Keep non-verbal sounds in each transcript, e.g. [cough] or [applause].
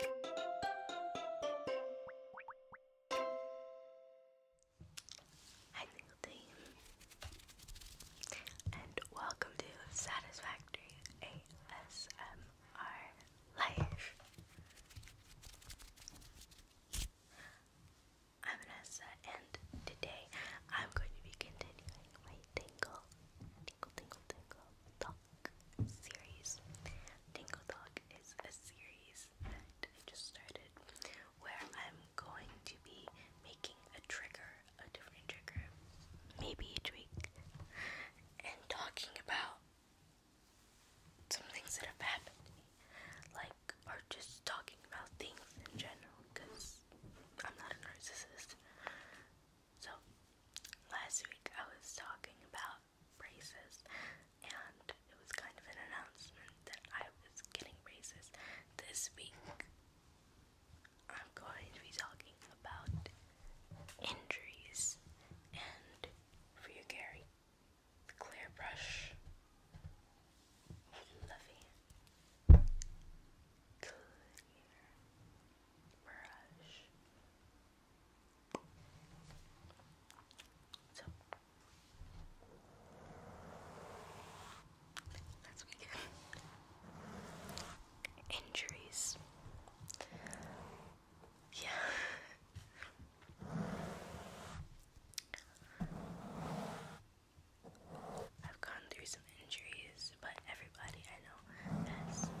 Hi, Single and welcome to Satisfactory ASMR Life. I'm Vanessa, and today I'm going to be continuing my tingle, tingle, tingle, tingle, talk series. Tingle Talk is a series that I just started where I'm going to be making a trigger, a different trigger, maybe a tweak, and talking about some things that have happened to me. Like, or just talking about things in general because I'm not a narcissist. So, last week I was talking about braces, and it was kind of an announcement that I was getting braces. This week, I'm going to be talking about injuries, and for you, Gary, the clear brush. Fluffy. Clear brush. Injuries. Yeah. [laughs] I've gone through some injuries, but everybody I know has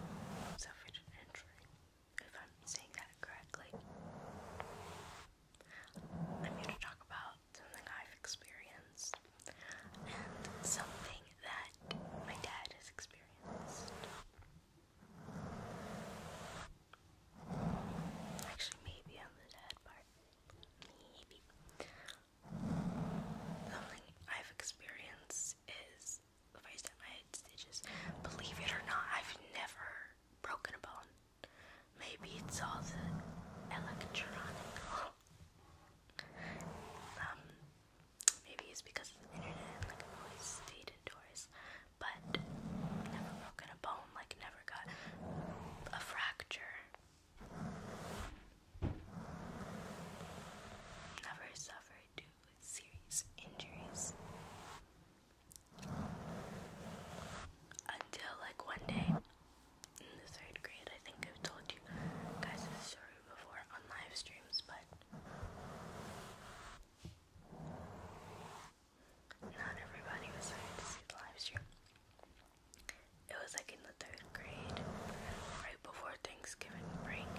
suffered an injury, if I'm saying that correctly. I'm here to talk about something I've experienced and something that my dad has experienced. Actually, maybe on the dad part. Maybe. Something I've experienced is face that I had stitches. Believe it or not, I've never broken a bone. Maybe it's all the electronic. um, maybe it's because of the internet, like I've always stayed indoors. But never broken a bone, like never got a fracture. Never suffered to serious injuries. Until, like, one day in the third grade, I think I've told you guys this story before on live streams, but not everybody was there to see the live stream. It was like in third grade right before Thanksgiving break,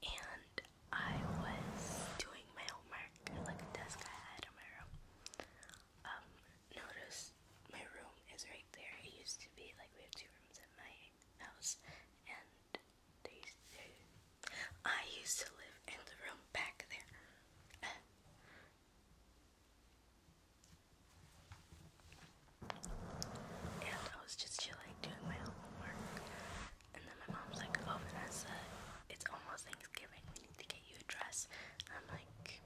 and I was doing my homework like a desk I had in my room. Um, notice my room is right there. It used to be like we have two rooms at my house, and I used to live in the room back there. And I was just chilling, doing my homework. And then my mom's like, Oh, Vanessa, it's almost Thanksgiving. We need to get you a dress. And I'm like,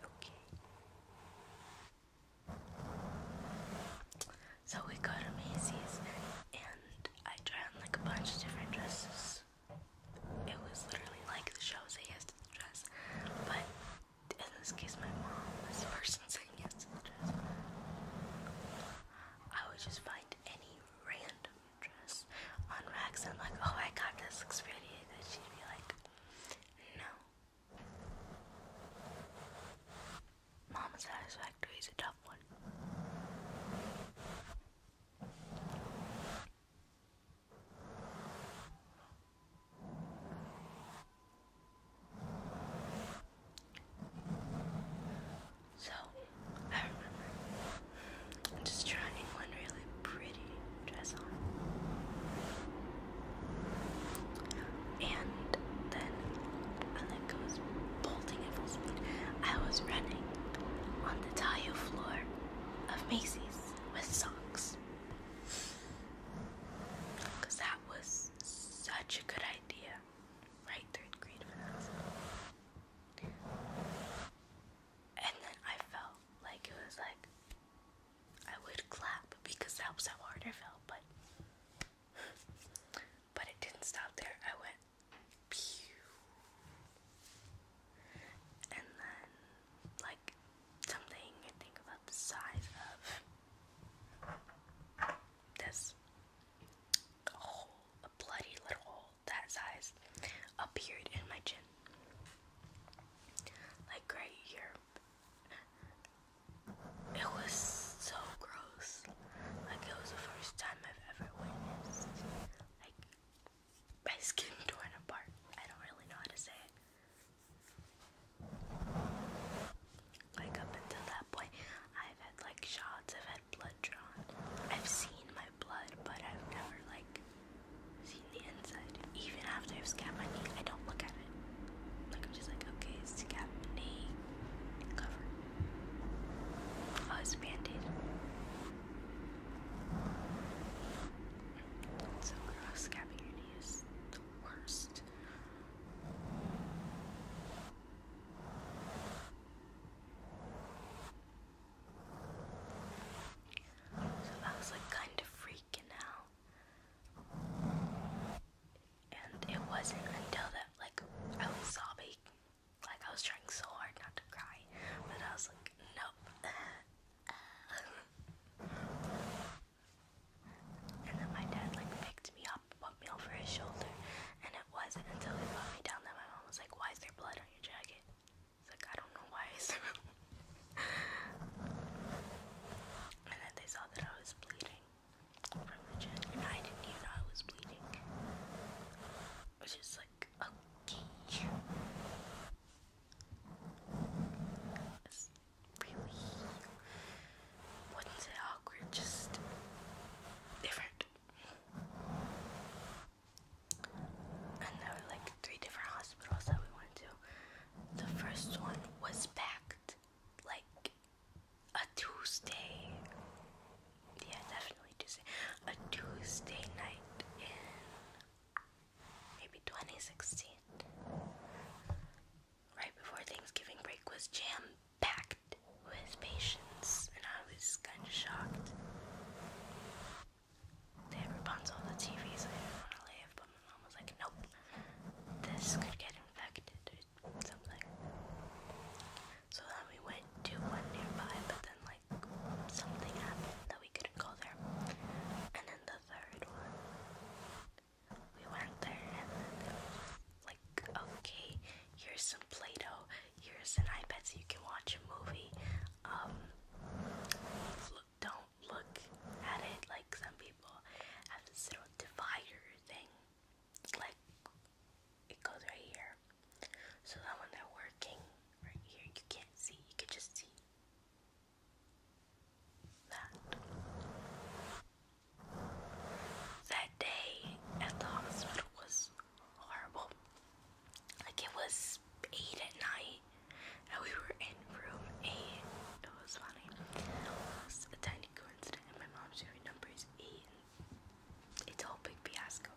Okay. So we go to Macy's and I tried like a bunch of different dresses. It was literally like the shows I asked to dress, but in this case my mom, this person saying yes to the dress. I would just find any random dress on racks and like, oh I got this looks pretty and she'd be like, No. Mom satisfactory is a tough one. So, I remember just trying one really pretty dress And then, and then goes bolting at full speed. I was running on the tile floor of Macy's with socks. Because that was such a good idea. Right, third grade finals. And then I felt like it was like I would clap because that was how hard I felt, but but it didn't stop there. I went pew and then something I think about the size of this hole, bloody little hole that size appeared in my chin. Like right here. It was so gross. Like it was the first time I've ever witnessed. Like my skin [laughs] torn apart. I don't really know how to say it. Like up until that point, I've had like shots, I've had blood drawn. I've seen my blood, but I've never like seen the inside. Even after I've scabbed my knee, I don't look at it. Like I'm just like, okay, scab knee cover. Oh, it's bandage. So gross scabbing your so I was like kind of freaking out. And it wasn't until that, like, I was sobbing. Like, I was trying so hard not to cry. But I was like, nope. [laughs] And then my dad like picked me up, put me over his shoulder, and it wasn't until he brought me down that my mom was like, "Why is there blood on your jacket?" It's like I don't know why is there. and then they saw that I was bleeding from the chin, and I didn't even know I was bleeding, which just like okay. It's really wouldn't say awkward, just different. And there were like three different hospitals that we went to. The first one was packed like a Tuesday. Yeah, definitely Tuesday. A Tuesday night maybe 2016. Right before Thanksgiving break was jam packed with patients, and I was kind of shocked. They had Rapunzel on the TV, I didn't want to leave, but my mom was like, nope, this could get infected or something. So then we went to one nearby, but then something happened that we couldn't go there. And then the third one, we went there and then like, okay, here's some Play Doh, here's an iPad so you can watch a movie. Um, look, don't look at it like some people have this little divider thing. Like, it goes right here. So that when they working right here, you can't see, you can just see that that day at the hospital was horrible. Like it was eight at night, and we were in room eight. It was funny. It was a tiny coincidence, and my mom's room number is eight. it's a whole big fiasco.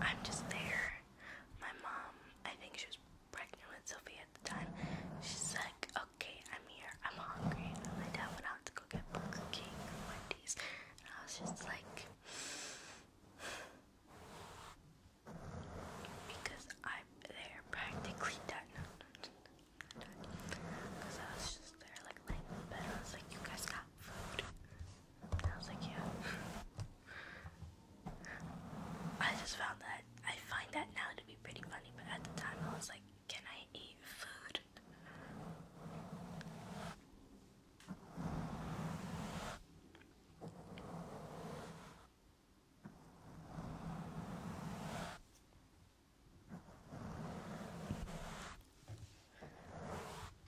I'm just there. My mom, I think she was pregnant with Sophie at the time. She's like, okay, I'm here. I'm hungry. And my dad went out to go get Burger King and Wendy's. And I was just like, because I'm there practically done. Because I was just there, like, laying in bed. I was like, you guys got I was like, yeah. I just found that, I find that now to be pretty funny, but at the time I was like, can I eat food?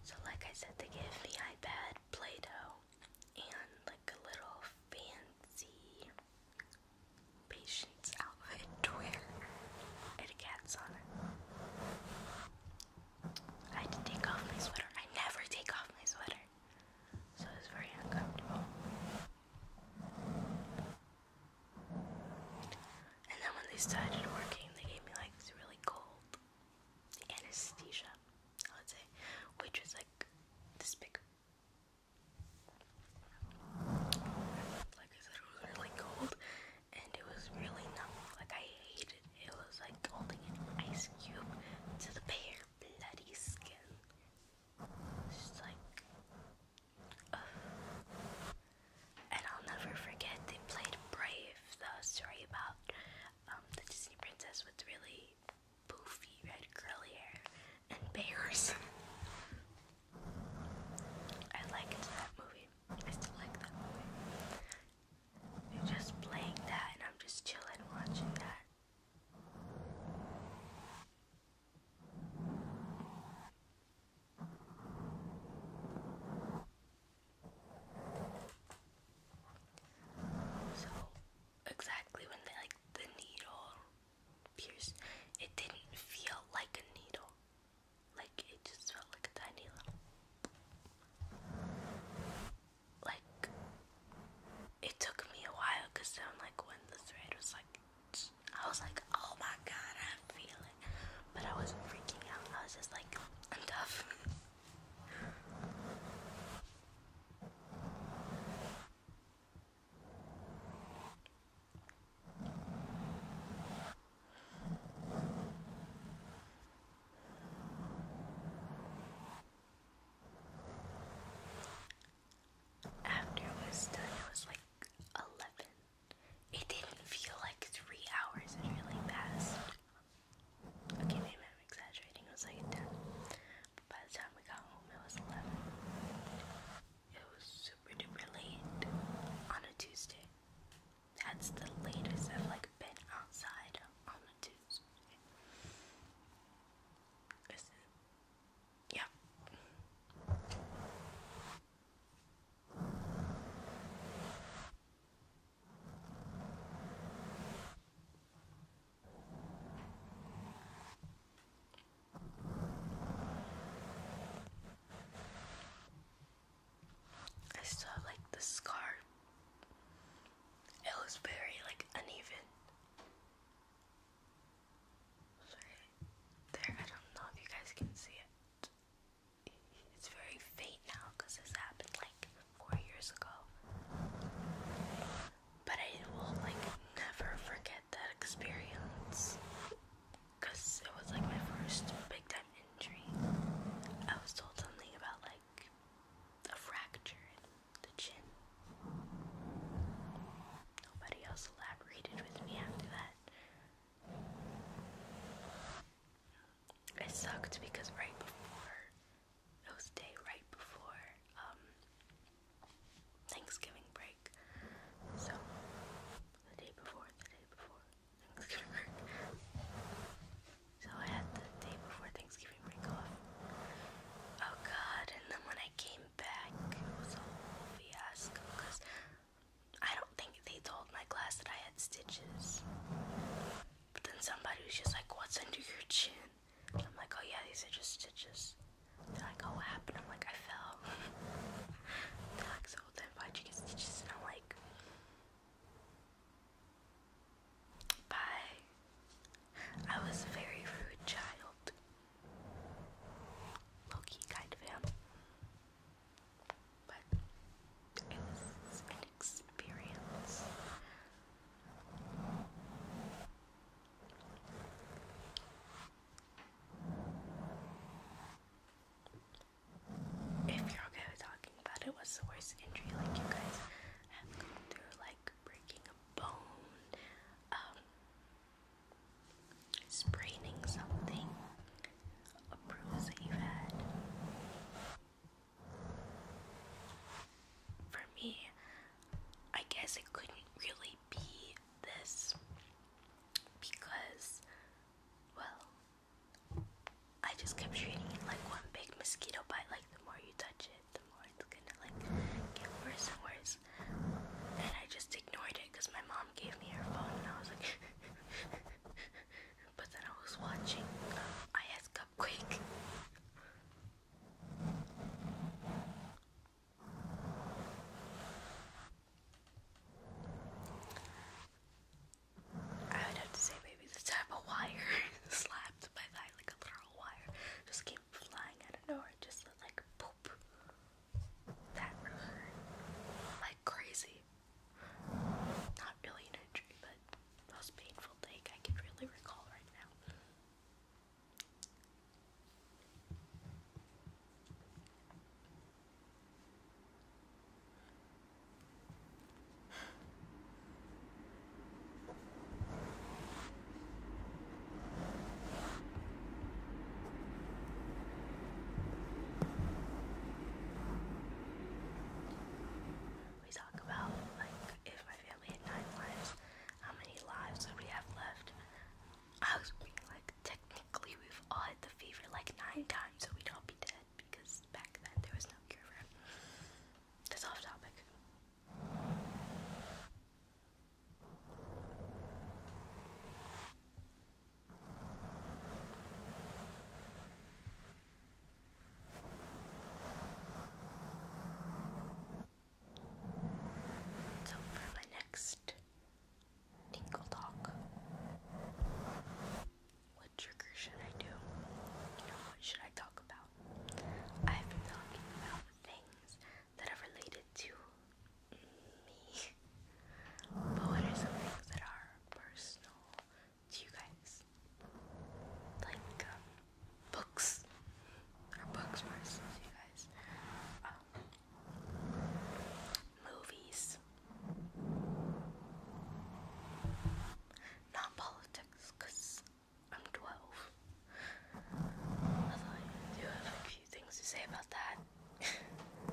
So, like I said, they give me iPad Play Doh and like a little fancy patient's outfit to wear. It had on it. I had to take off my sweater. I never take off my sweater. So it was very uncomfortable. And then when they started working, they gave me like this really cold anesthesia, I would say, which was like this big. Like it was really cold and it was really numb. Like I hated it. It was like holding an ice cube to the bare bloody skin. It's just like and I'll never forget they played Brave, the story about um, the Disney princess with really poofy red curly hair and bears. I liked that movie. I still like that movie. You're just playing that and I'm just chilling watching that. So exactly when they like the needle pierced, it didn't feel like a needle. Like it just felt like a tiny little like it took me a while because then like when the thread was like I was like, oh my god, I feel it. But I wasn't freaking out. I was just like, I'm tough. After it was done, it was like 11 it didn't feel like three hours, it really passed. Okay, maybe I'm exaggerating, it was like 10. by the time we got home, it was 11. It was super duper late on a Tuesday. That's the latest I've like been outside on a Tuesday. Is Yeah. I saw like the scar. It was very like uneven. There, I don't know if you guys can see it. It's very faint now because this happened like four years ago. But I will like never forget that experience because it was like my first big time injury. I was told something about like a fracture in the chin nobody else elaborated with me after that. It sucked because right before it was day right before um, Thanksgiving break. So the day before, the day before Thanksgiving break. So I had the day before Thanksgiving break off. Oh god, and then when I came back was a fiasco because I don't think they told my class that I had stitches. then somebody was just like, What's under your chin? I'm like, Oh, yeah, these are just stitches. They're like, Oh, what happened? I'm like, I fell. [laughs] They're like, So then why'd you get stitches? I'm like, Bye. I was a very rude child low-key kind of him. But it was an experience. If you're okay with talking about it, what's the worst injury like you guys have gone through? Like breaking a bone, um, spraining something, a bruise you've had. For me, I guess it couldn't really be this because, well, I just kept treating it like one big mosquito bite, like the more you touch it the more it's gonna like get worse and worse. And I just ignored it because my mom gave me her phone, and I was like, [laughs] but then I was watching uh, IS Cupquake. I would have to say maybe the type of wire [laughs] slapped by that like a literal wire just came flying don't know, it just looked like poop. That river. Like crazy. Not really an injury, but most painful thing I can really recall right now. We talk about, like, if my family had nine lives, how many lives would we have left? I was being like, technically, we've all had the fever like nine times, so we'd all be dead because back then there was no cure for it. That's off topic. So for my next tinkle talk, what trigger should I do? You know, what should I talk about? I've been talking about things that are related to me. But what are some things that are personal to you guys? Like um, books. Are books personal to you guys? Um, movies. Not politics, because I'm 12. Although have a few things to say about that. [laughs]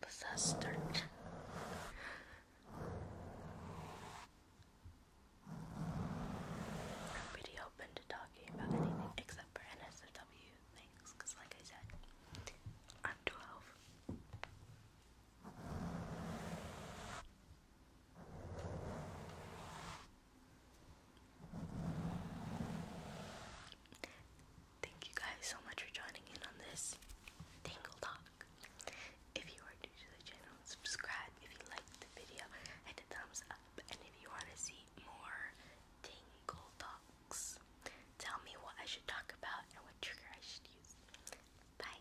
but that's start. I'm pretty open to talking about anything except for NSFW things, because like I said, I'm 12. Thank you guys so much for joining in on this Tangle Talk. If you are new to the channel, subscribe if you liked the video, hit a thumbs up, and if you want to see more Tangle Talks, tell me what I should talk about and what trigger I should use. Bye.